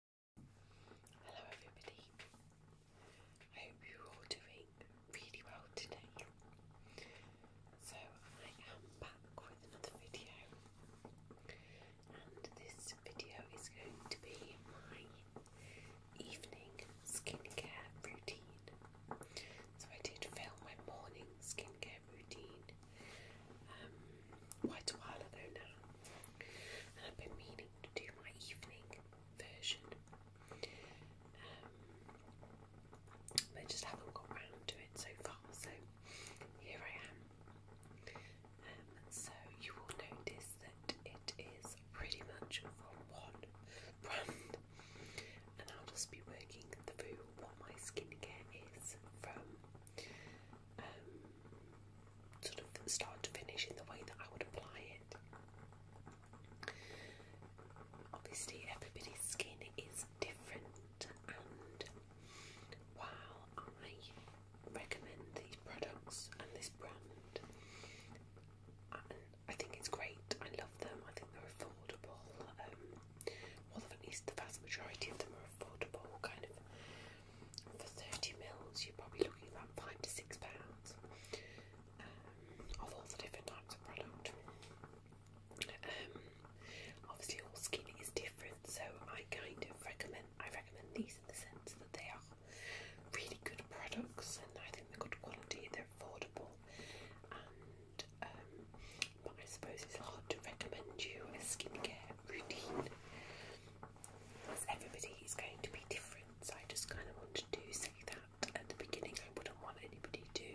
Hello everybody. I hope you're all doing really well today. So I am back with another video and this video is going to be my evening skincare routine. So I did film my morning skincare routine um, quite a while ago now. And I've been meaning to do my evening version. but um, just haven't got round to it so far, so here I am. Um, so you will notice that it is pretty much from one brand, and I'll just be working through what my skincare is from. Um, sort of start to finish in the way that I would apply it. Obviously, everybody's skin is different, and while I recommend these products and this brand, I think it's great, I love them, I think they're affordable. Um, well, at least the vast majority of them are affordable, kind of for 30 mils, you're probably looking about five to six pounds um, of all the different types of product. Um, obviously, all skin is different, so I kind of recommend I recommend these in the sense that they are really good products, and I think they're good quality, they're affordable, and um, but I suppose it's hard to recommend you a skincare routine as everybody is going to be different. So I just kind of wanted to say that at the beginning. I wouldn't want anybody to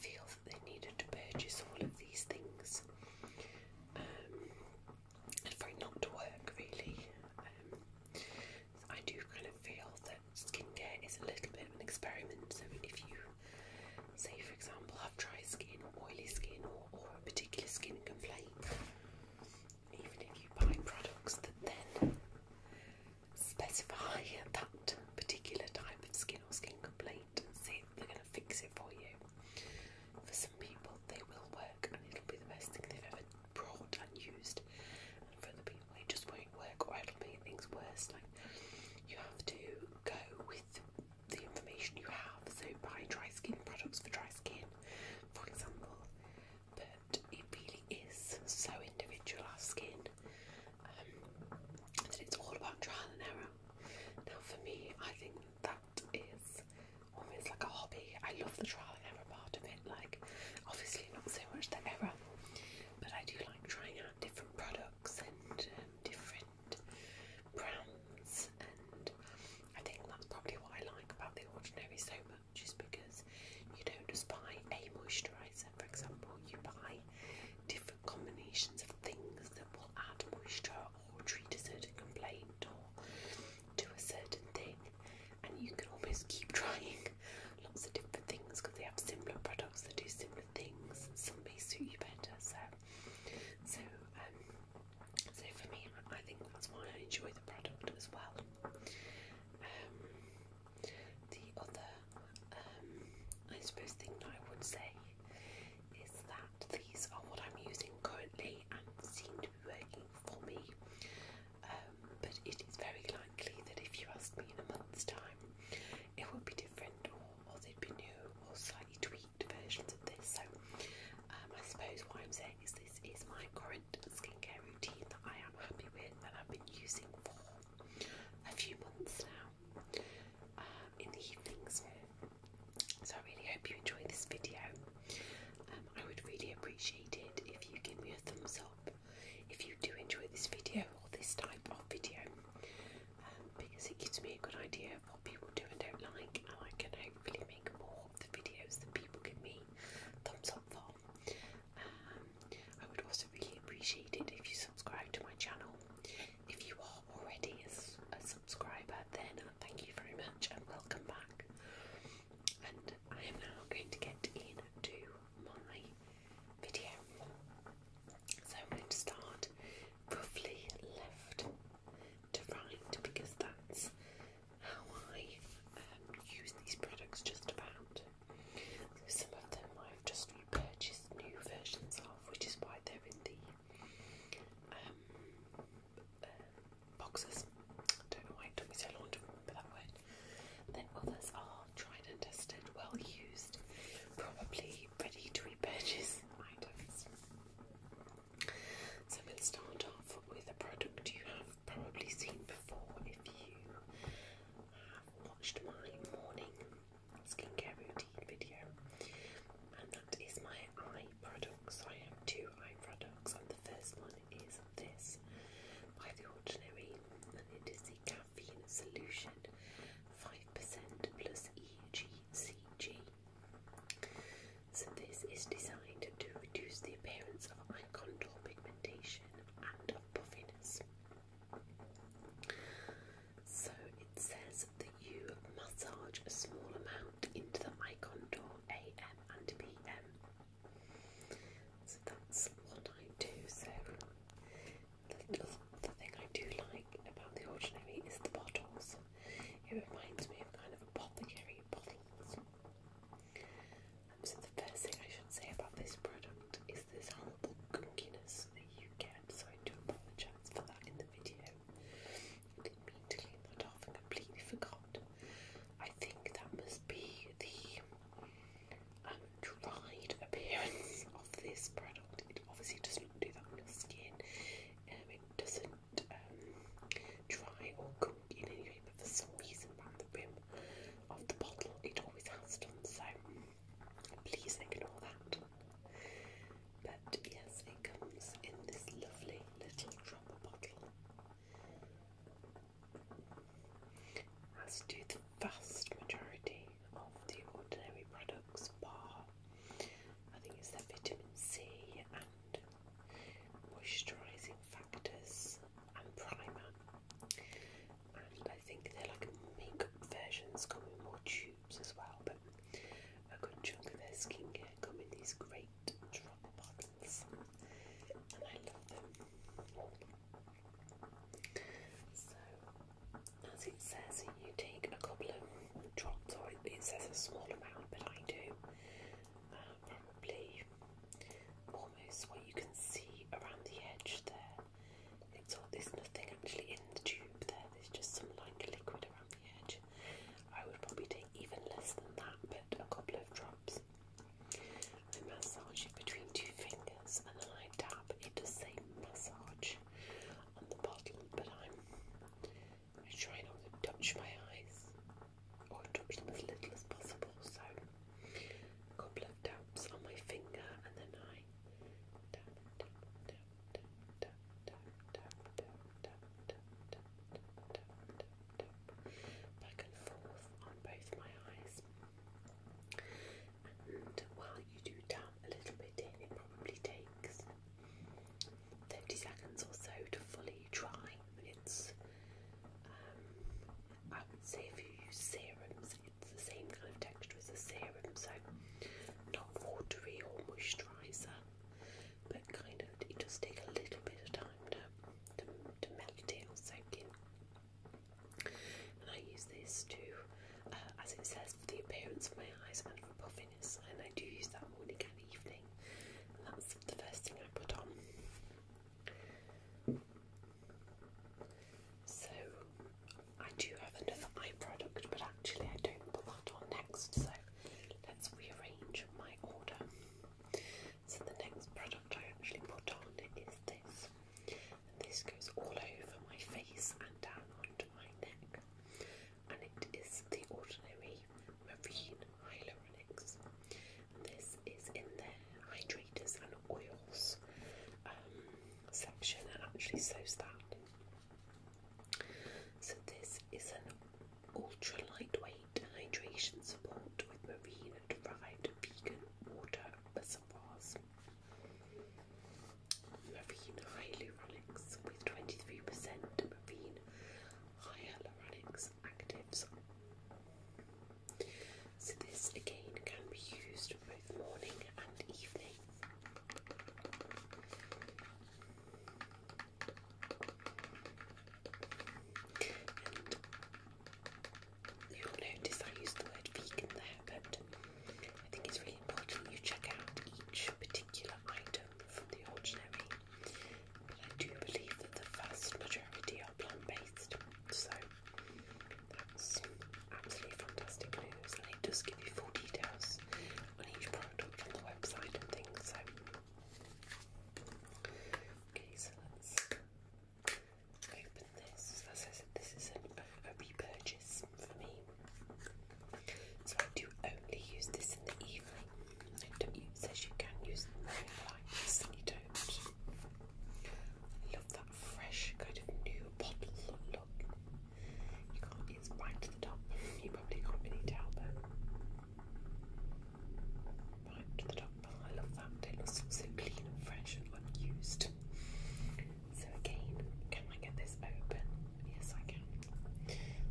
feel that they needed to purchase all of these things um, and for not to work really. Um, I do kind of feel that skincare is a little bit of an experiment. So if you say, for example, have dry skin or oily skin or a particular skin complaint, even if you buy products that then specify that particular type of skin or skin complaint and see they're going to fix it for you. For some people, they will work and it'll be the best thing they've ever brought and used, and for other people, it just won't work or it'll make things worse. Like, you have to go with the information you have. So, buy dry skin products for dry skin, for example, but it really is so individual, our skin, um, that it's all about trial and error. Now, for me, I think that is almost like a hobby. I love the trial and error part of it, like, obviously, not so much the error, but I do like trying out different products and um, different brands and I think that's probably what I like about The Ordinary so much is because you don't just buy a moisturiser, for example, you buy different combinations of things that will add moisture or treat a certain complaint or do a certain thing, and you can almost keep trying lots of different things because they have similar products that do similar things, and some may suit you better. So, so um, so for me, I think that's why I enjoy the product as well. Um, the other, um, I suppose, thing that I would say is that these are what I'm using currently and seem to be working for me. Um, but it is very likely that if you asked me in a month's time, it would be different, or, or they'd be new, or slightly tweaked versions of this. So I suppose what I'm saying is this is my current skincare routine that I am happy with and I've been using for a few months now um, in the evenings. So I really hope you enjoy this video. Um, I would really appreciate it if you give me a thumbs up if you do enjoy this video or this type of video um, because it gives me a good idea of what people do and don't like and I can hopefully make more the videos that people give me thumbs up for. Um, I would also really appreciate it if you subscribe to my channel. If you are already a subscriber, then uh, thank you very much and welcome back. And I am now going to get into my video. So I'm going to start roughly left to find because that's how I um, use these products just about. some of them I've just repurchased new versions of, which is why they're in the um, uh, boxes. don't know why it took me so long to remember that word. Then others are tried and tested, well used, probably ready to repurchase items. So we'll start off with a product you have probably seen before if you have watched my morning skincare routine video, and that is my eye products. I have two eye products, and the first one is this by The Ordinary, and it is the Caffeine Solution 5% plus EGCG. So this is designed to reduce the appearance of eye contour pigmentation and of puffiness. So it says that you massage a small amount into the eye contour AM and PM. So that's what I do. So the, the thing I do like about the ordinary is the bottles. It reminds me of kind of apothecary bottles so the first thing I should say about this product is this horrible gunkiness that you get, so I do apologise for that in the video. I didn't mean to clean that off and completely forgot. I think that must be the um, dried appearance of this product. It obviously does not do that on your skin. Um, it doesn't um, dry or cook in any way, but for some reason, my the rim of the bottle. It always has done, so please ignore that. But yes, it comes in this lovely little dropper bottle. As do the vast majority of the ordinary products, bar I think it's their vitamin C and moisturising factors and primer. And I think they're like makeup versions, come in more tubes as well. But a good chunk of their skincare come in these great drop bottles, and I love them. So, as it says, you take a couple of drops, or it says a small amount, but I do almost where you can see around the edge there. It's all, there's nothing actually in the tube there, there's just some like liquid around the edge. I would probably take even less than that, but a couple of drops. I massage it between two fingers and then I dab. It the same massage on the bottle, but I'm trying not to touch my eyes. I want touch them as little as possible, so a couple of taps on my finger and then I tap, tap, tap, tap, tap, tap, tap, tap, tap, tap, tap, tap, tap, tap, back and forth on both my eyes. And while you do tap a little bit in, it probably takes 30 seconds or so to fully dry. It's um, I would say if you use serums, it's the same kind of texture as a serum, so not watery or moisturiser, but kind of it does take a little bit of time to, to, to melt in or soak in. And I use this to, uh, as it says, for the appearance of my eyes and for puffiness, and I do use that morning and evening. And that's the first thing I put on. So I do have another eye product, but actually I don't put that on next. So let's rearrange my order. So the next product I actually put on is this. And this goes all over my face and down onto my neck. And it is the Ordinary Marine Hyaluronic. This is in the hydrators and oils um, section and actually so's that. So this is an ultra lightweight hydration support with marine derived vegan water reservoirs. Marine hyaluronics with 23% marine hyaluronics actives. So this again can be used both morning and evening. you'll notice I use the word vegan there, but I think it's really important you check out each particular item from the ordinary. But I do believe that the vast majority plant based, so that's absolutely fantastic news. And it does give you full details on each product on the website and things. So, okay, so let's open this. As I said, this is a, a repurchase for me. So I do only use this in the evening. It says you can use it in the morning, but I personally don't. I love that fresh kind of new bottle look. You can't, it's right to the top. You probably can't really tell, but right to the top. I love that. It looks so clean and fresh and unused. So again, can I get this open? Yes, I can.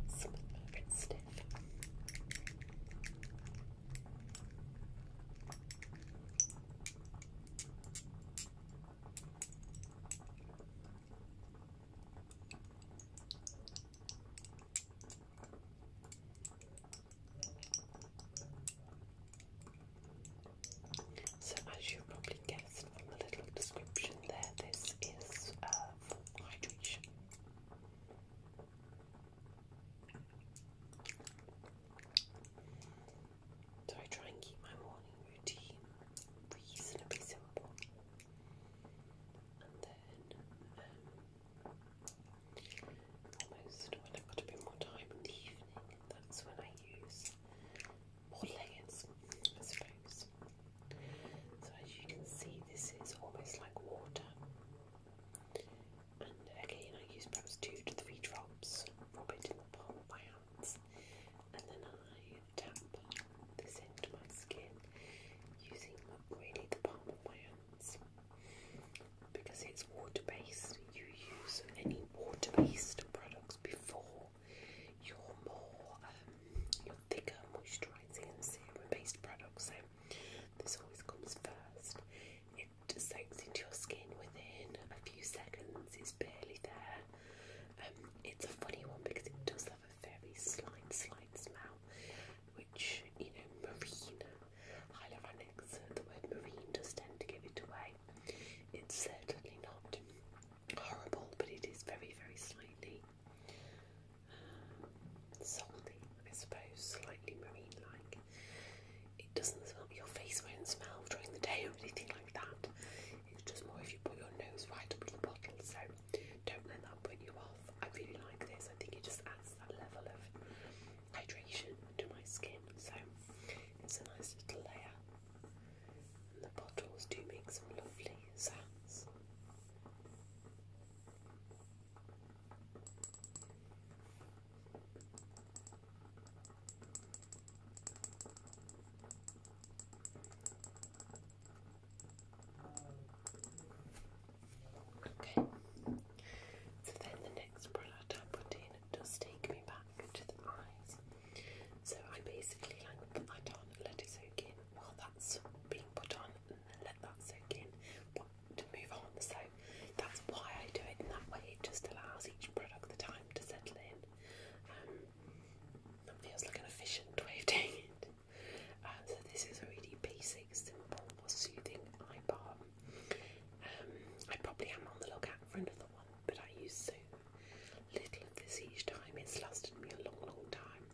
Some a bit stiff. So, as you probably guessed from the little description there, this is uh, for hydration. So I try and keep my morning routine reasonably simple. And then um, almost when I've got a bit more time in the evening, that's when I use more layers, I suppose. So as you can see, this is almost like water. And again, I use perhaps two to three drops, rub it in the palm of my hands, and then I tap this into my skin using really the palm of my hands. Because it's water based, you use any water based products before your more, um, your thicker moisturising and serum based products. So this always comes first it soaks into your skin within a few seconds. It's barely there. Um, it's a funny one because it does have a very slime, slime smell, which you know, marine hyaluronics. The word marine does tend to give it away. It's certainly not horrible, but it is very, very slightly um, salty, I suppose, slightly marine-like it doesn't smell, your face won't smell during the day or anything like that. It's just more if you put your nose right up to the bottle. So don't let that put you off. I really like this. I think it just adds that level of hydration to my skin. So it's a nice little layer. And the bottles do make some lovely sounds. Okay, so then the next product I put in does take me back to the eyes. So I basically like put that on, and let it soak in while that's being put on, and then let that soak in to move on. So that's why I do it in that way. It just allows each product the time to settle in. Um, feels like an efficient way of doing it. Um, so this is a really basic, simple, soothing eye balm. Um, I probably am on the lookout for another one, but I use so little of this each time. It's lasted me a long, long time.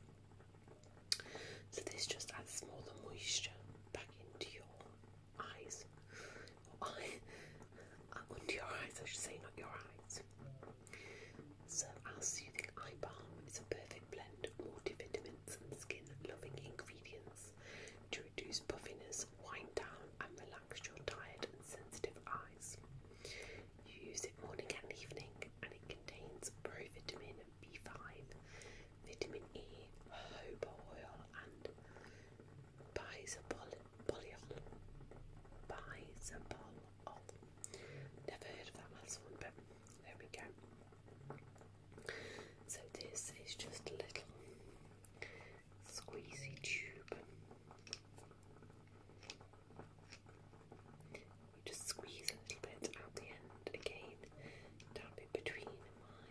So this just adds more the moisture back into your eyes. Well, eye, under your eyes, I should say, not your eyes. So, our soothing eye balm is a perfect blend of multivitamins and skin loving ingredients to reduce puffiness, wind down, and relax your tired and sensitive eyes. use it morning and evening, and it contains provitamin B5, vitamin E, jojoba oil, and Bisapoliol. Bisapoliol. Oh. Never heard of that last one, but there we go. So this is just a little squeezy tube. just squeeze a little bit out the end again, down in between my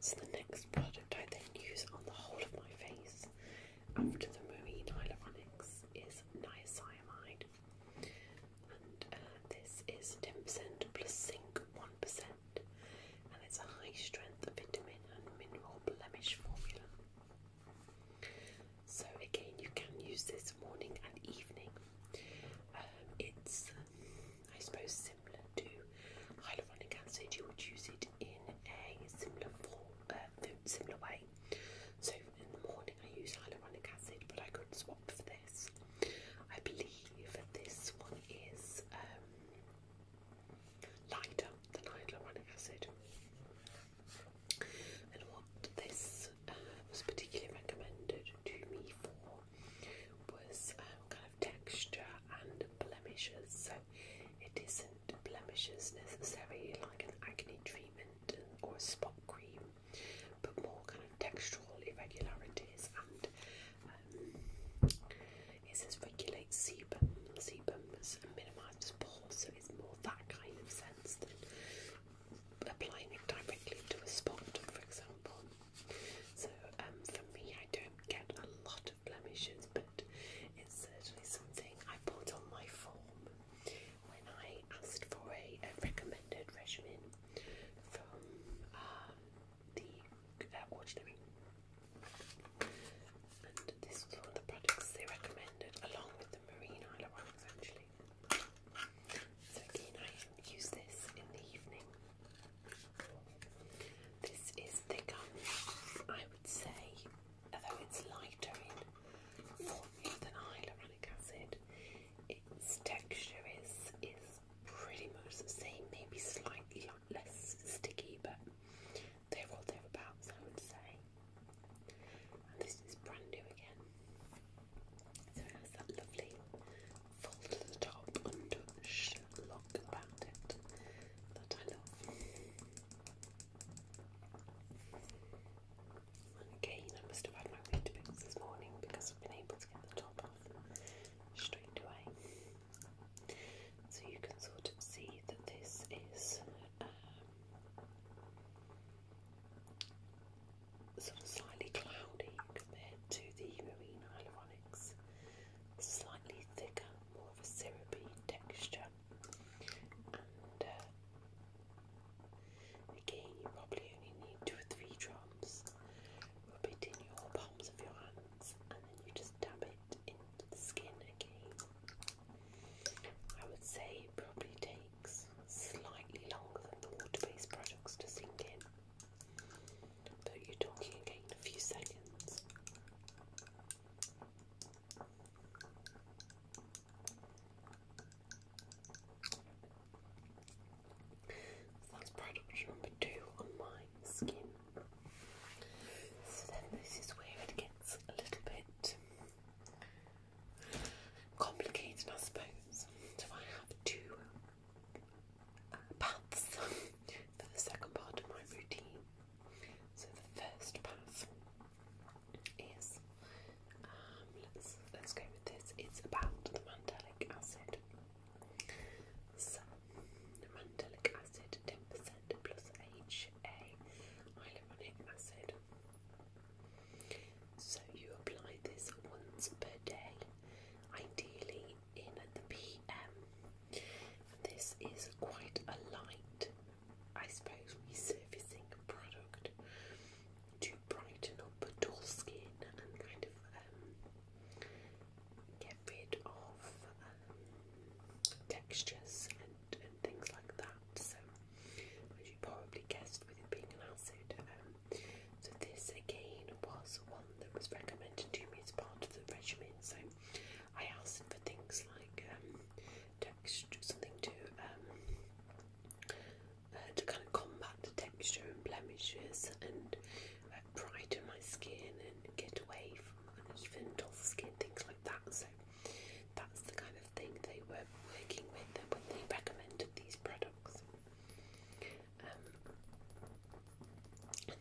So the next product I then use on the whole of my face after the marine hyaluronics is niacinamide. And uh, this is 10% plus zinc 1%. And it's a high strength vitamin and mineral blemish formula. So again, you can use this morning and evening. Um, it's uh, I suppose similar to hyaluronic acid, you would use it in a uh, similar way. So in the morning I use hyaluronic acid, but I could swap for this. I believe this one is um, lighter than hyaluronic acid. And what this uh, was particularly recommended to me for was um, kind of texture and blemishes. So it isn't blemishes necessarily like an acne treatment or a spot cream, but more kind of textural irregularities and um, it says regulate sebum. Sebum minimises pores, so it's more that kind of sense than applying it directly to a spot, for example. So um, for me, I don't get a lot of blemishes, but it's certainly something I put on my form when I asked for a, recommended regimen from um, the uh, ordinary. And this was one of the products they recommended, along with the marine Isla products actually. So again, I use this in the evening. This is thicker, I would say, although it's lighter in formula than hyaluronic acid. Its texture is is pretty much the same, maybe slightly less sticky, but they're all thereabouts, I would say. And this is brand new again. So it has that lovely fold at the top and touch lock around it that I love. again, I must have had my weight picks this morning because I've been able to get the top off straight away. So you can sort of see that this is um, sort of slightly cloudy compared to the Marine Hyaluron Slightly thicker, more of a syrupy texture. And uh, again, you probably only need two or three drops. Rub it in your palms of your hands and then you just dab it into the skin again. I would say it probably takes slightly longer than the water based products to sink in. But you're talking again in a few seconds. that's product number two on my skin. So then this is where it gets a little bit complicated I suppose. So I have two paths for the second part of my routine. So the first path is um, let's let's go with this. It's about the mandelic acid. So the mandelic acid, ten percent plus HA hyaluronic acid. So you apply this once per day, ideally in the PM. This is quite a light, I suppose, resurfacing product to brighten up dull skin and kind of um, get rid of um, textures and, and things like that. So, as you probably guessed, with it being an acid, um, so this again was one that was recommended to me as part of the regimen. So I asked for things like um, texture, something to um, uh, to kind of combat the texture and blemishes and uh, brighten my skin and get away from uneven, dull skin, things like that. So that's the kind of thing they were working with when they recommended these products. Um,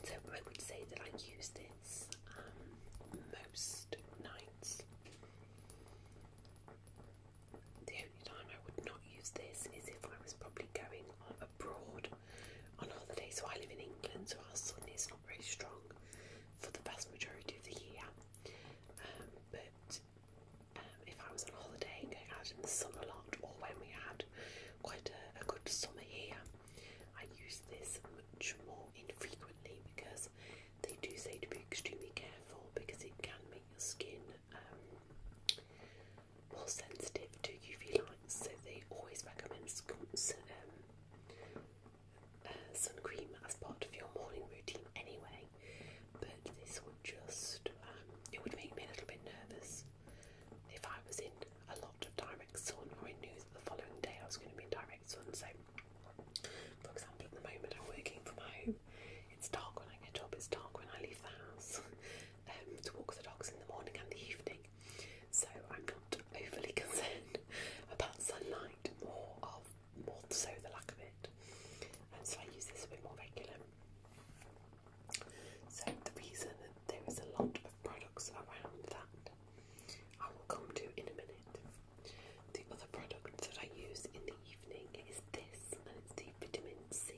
so I would say that I use this um, most nights. The only time I would not use this is if I was probably going abroad on holiday. So I live in England, so our sun is not very strong for the vast majority of the year. Um, but if I was on holiday, and going out in the sun a lot, or when we had quite a, good summer here. I use this much more infrequently because they do say to be extremely careful because it can make your skin um, more sensitive to UV lights. So they always recommend um, uh, sun cream as part of your morning routine anyway. But this would just, um, it would make me a little bit nervous if I was in a lot of direct sun or I knew that the following day I was going to be in direct sun. So, for example, at the moment I'm working from home, it's dark when I get up, it's dark when I leave the house um, to walk the dogs in the morning and the evening. So, I'm not overly concerned about sunlight, more of more so the lack of it. And so, I use this a bit more regularly. So the reason that there is a lot of products around that I will come to in a minute. The other product that I use in the evening is this, and it's the vitamin C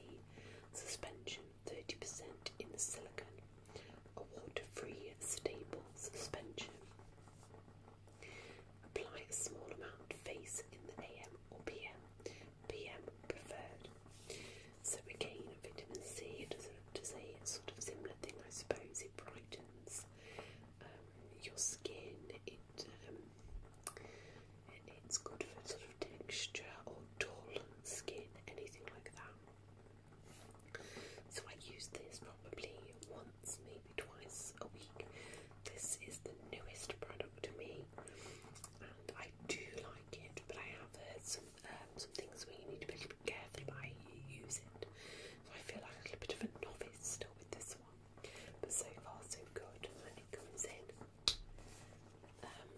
suspension, 30% in the silicone, a water-free stable suspension. Apply a small amount face in the AM or PM, PM preferred, so again, vitamin C does a sort of similar thing, I suppose. It brightens um, your skin. and um, it's good for sort of texture or dull skin, anything like that. So I use this probably once, maybe twice a week. This is the newest product to me, and I do like it. But I have heard um, some things where you need to be careful about how I feel like a little bit of a novice still with this one, but so far so good. When it comes in, um,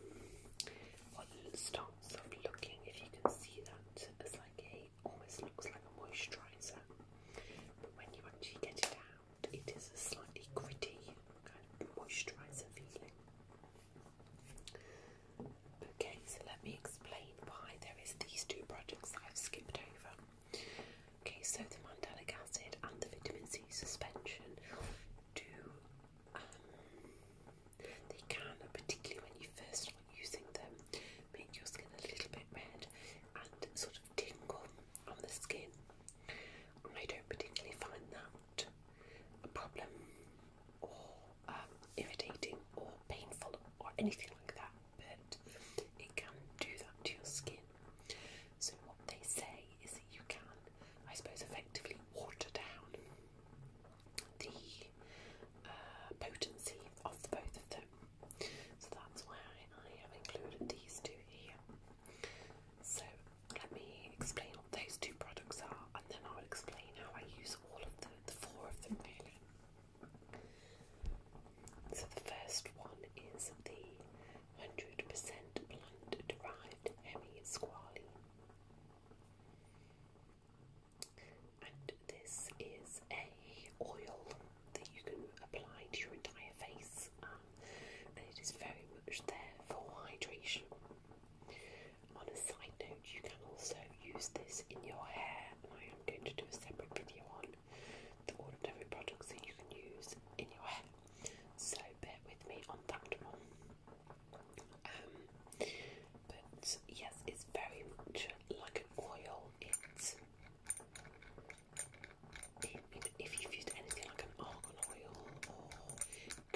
what starts sort of looking, if you can see that, as like a almost looks like a moisturiser, but when you actually get it out, it is a slightly gritty kind of moisturiser feeling. Okay, so let me explain why there is these two projects I've skipped over. Okay, so the mandelic acid and the vitamin C suspension do um, they can, particularly when you first start using them, make your skin a little bit red and sort of tingle on the skin. I don't particularly find that a problem or um, irritating or painful or anything like that, but it can do that to your skin. So, what they say is that you can, I suppose, effectively water down the uh, potency of both of them. So, that's why I have included these two here. So, let me explain what those two products are and then I'll explain how I use all of the, four of them really. So the first one is the 100% plant derived hemi-squalene. And this is a oil that you can apply to your entire face, um, and it is very much there for hydration. On a side note, you can also use this in your hair, and I am going to do a separate video on the ordinary products that you can use in your hair. So bear with me on that one. Um, but yes, it's very much like an oil. it, if you've used anything like an argan oil or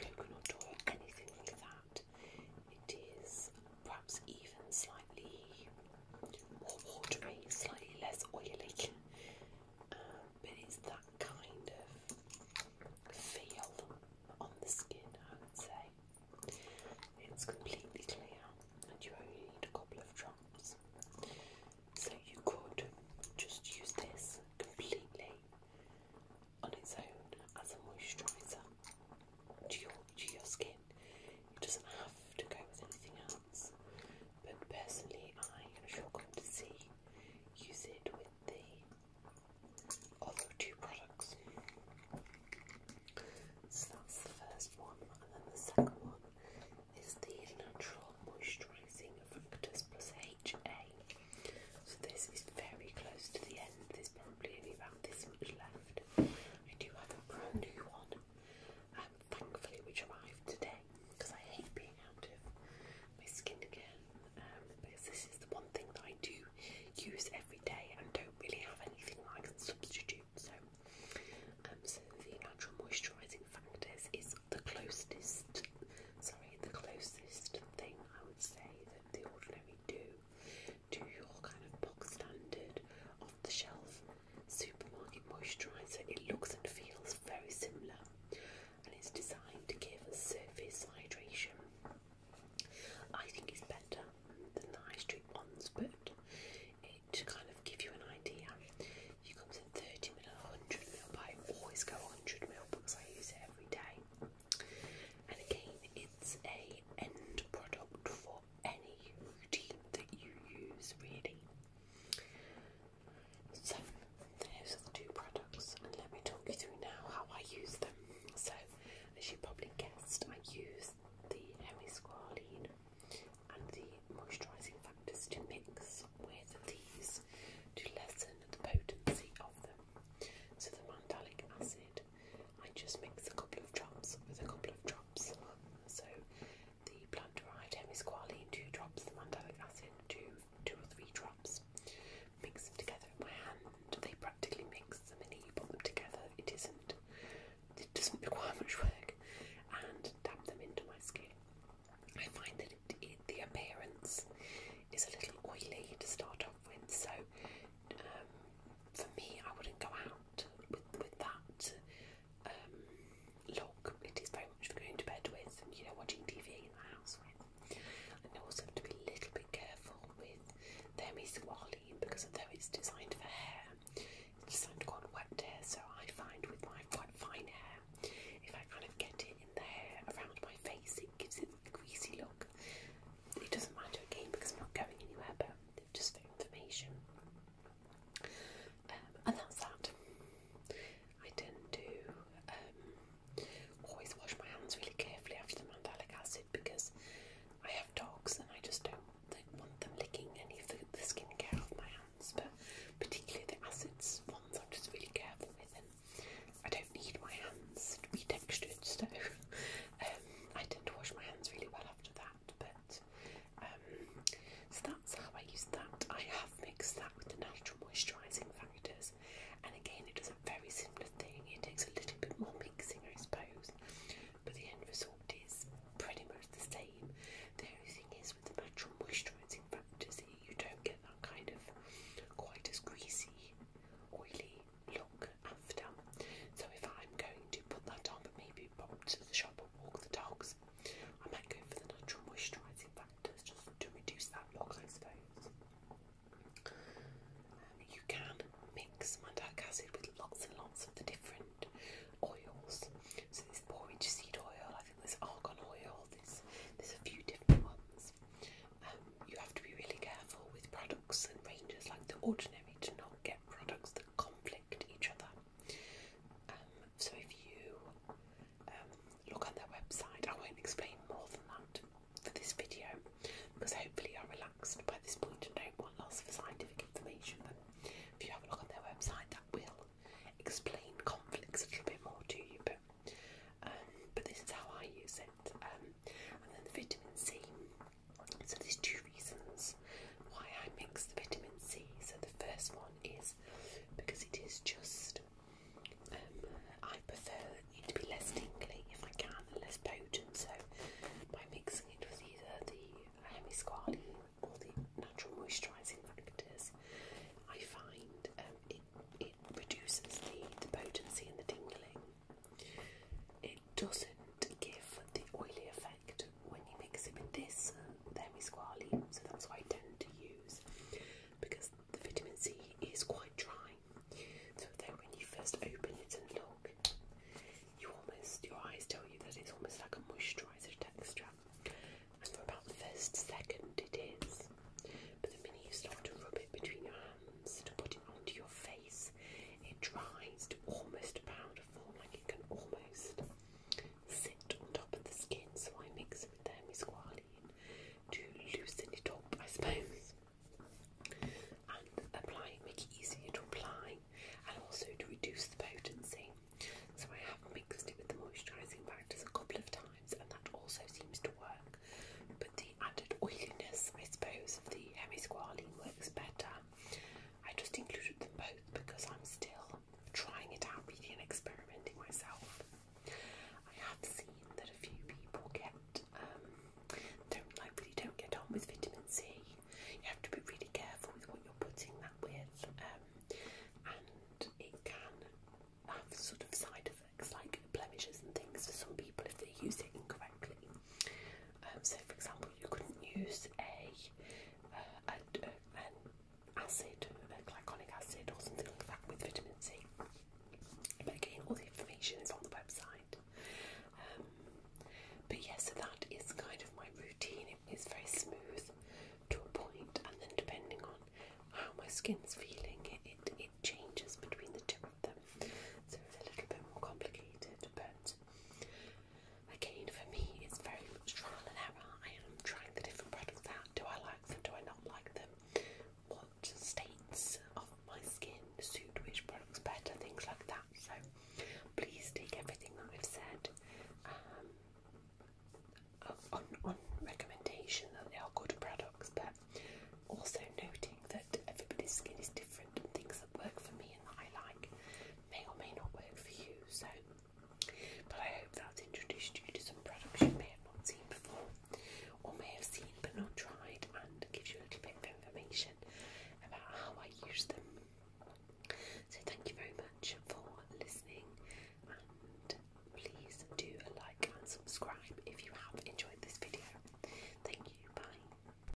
coconut oil, anything like that it is perhaps even slightly more watery, slightly less oily, um, but it's that kind of feel on the skin, I would say. It's completely clear, and you only need a couple of drops. So you could just use this completely on its own as a moisturiser to your to your skin. It doesn't have to go with anything else. But personally, I am sure to see use it with the other two products. So that's the first one, and then the second one is the Natural Moisturising factors Plus HA. So this is very close to the end. There's probably only about this much left. I do have a brand new one, um, thankfully, which arrived today because I hate being out of my skincare um, because this is the one thing that I do use every day and don't really have anything like a substitute. So, um, so the natural moisturising factor is the closest. Sorry, the closest thing I would say that the ordinary do to your kind of box standard off the shelf supermarket moisturiser. It looks and feels very similar and it's designed to give surface hydration. I think it's better than the high street ones, but to kind of give you an idea. You comes in 30ml, 100ml, but I always go 100ml because I use it every day. And again, it's a end product for any routine that you use, really. So, those are the two products, and let me talk you through now how I use them. So, as you probably guessed, I use the Hemisqualene and the moisturising factors to mix with these to lessen the potency of them. So, the mandelic acid I just mix a couple of drops with a couple of drops. So the plant derived hemisqualene, two drops, the mandelic acid, two, two or three drops. Mix them together in my hand. They practically mix the minute you put them together. It isn't, it doesn't require much work. And dab them into my skin. I find that the appearance is a little oily to start off with, so um, for me, I wouldn't go out with, with that um, look. It is very much for going to bed with and you know watching TV in the house with. And I also have to be a little bit careful with their misqualine because although it's designed for hair, it's designed to go on wet hair. So I find with my quite fine hair, if I kind of get it in the hair around my face, it gives it a greasy look it doesn't matter game because I'm not going anywhere, but just for information. Um, and that's that. I tend to um, always wash my hands really carefully after the mandelic acid because I have dogs and I just don't want them licking any of the, skincare off my hands, but particularly the acids ones I'm just really careful with, and I don't need my hands to be textured, so Um, I didn't wash my hands really well after that, but um, so that's how I use that. I have mixed that with the natural moisturising factors, and again, it does a very similar thing. It takes a little bit more mixing, I suppose, but the end result is pretty much the same. The only thing is with the natural moisturising factors, you don't get that kind of quite as greasy, oily look so if I'm going to put that on, but maybe pop to the shop and walk the dogs, I might go for the natural moisturising factors just to reduce that lock. I suppose. Um, you can mix mandelic acid with lots and lots of the different oils. So there's borage seed oil, I think there's argan oil, there's, there's a few different ones. Um, you have to be really careful with products and ranges like the ordinary to not get products that conflict each other. Um, so if you um, look on their website, I won't explain more than that for this video because hopefully you're relaxed by this point and don't want lots of scientific information. But if you have a look on their website, that will explain conflicts a little bit more to you. But um, this is how I use it. and then the vitamin C so there's two reasons why I mix the vitamin C. So the first one is because it is just um, I prefer it to be less tingly if I can and less potent. So by mixing it with either the hemisqually or the natural moisturising factors, I find um, it it reduces the, the potency and the tingling. It doesn't give the oily effect when you mix it with this uh, squally, so that's why I tend to use because the vitamin C is quite dry. So then when you first open it and look, you almost your eyes tell you that it's almost like a moisturiser texture. And for about the first second it is. But the minute you start to rub it between your hands to put it onto your face. It dries to almost powder form, like it can almost sit on top of the skin. So I mix it with the hemisqualene to loosen it up, I suppose, and apply it, make it easier to apply, and also to reduce the potency. So I have mixed it with the moisturising factors a couple of times, and that also seems to work. But the added oiliness, I suppose, of the hemisqualene works better. I just included them both because I'm still trying it out really and experimenting myself. I have seen that a few people get um, don't like really don't get on with vitamin C. You have to be really careful with what you're putting that with, um, and it can have sort of side effects like blemishes and things for some people if they use it incorrectly. Um, so, for example, you couldn't use a, uh, uh, an acid, a glyconic acid, or something like that with vitamin C. But again, all the information is on the website. Um, but yeah, so that is kind of my routine. It is very smooth to a point, and then depending on how my skin's feeling, it, it changes between the two so it's a little bit more complicated, but again, for me, it's very trial and error. I am trying the different products out. Do I like them? Do I not like them? What states of my skin suit which products better? Things like that. So please take everything that I've said. Um, uh, on, on recommendation that they are good products, but also noting that everybody's skin is different and things that work for me and that I like may or may not work for you. So, but I hope that's introduced you to some products you may have not seen before or may have seen but not tried and gives you a little bit of information about how I use them. So, thank you very much for listening and please do like and subscribe if you have enjoyed this video. Thank you, bye.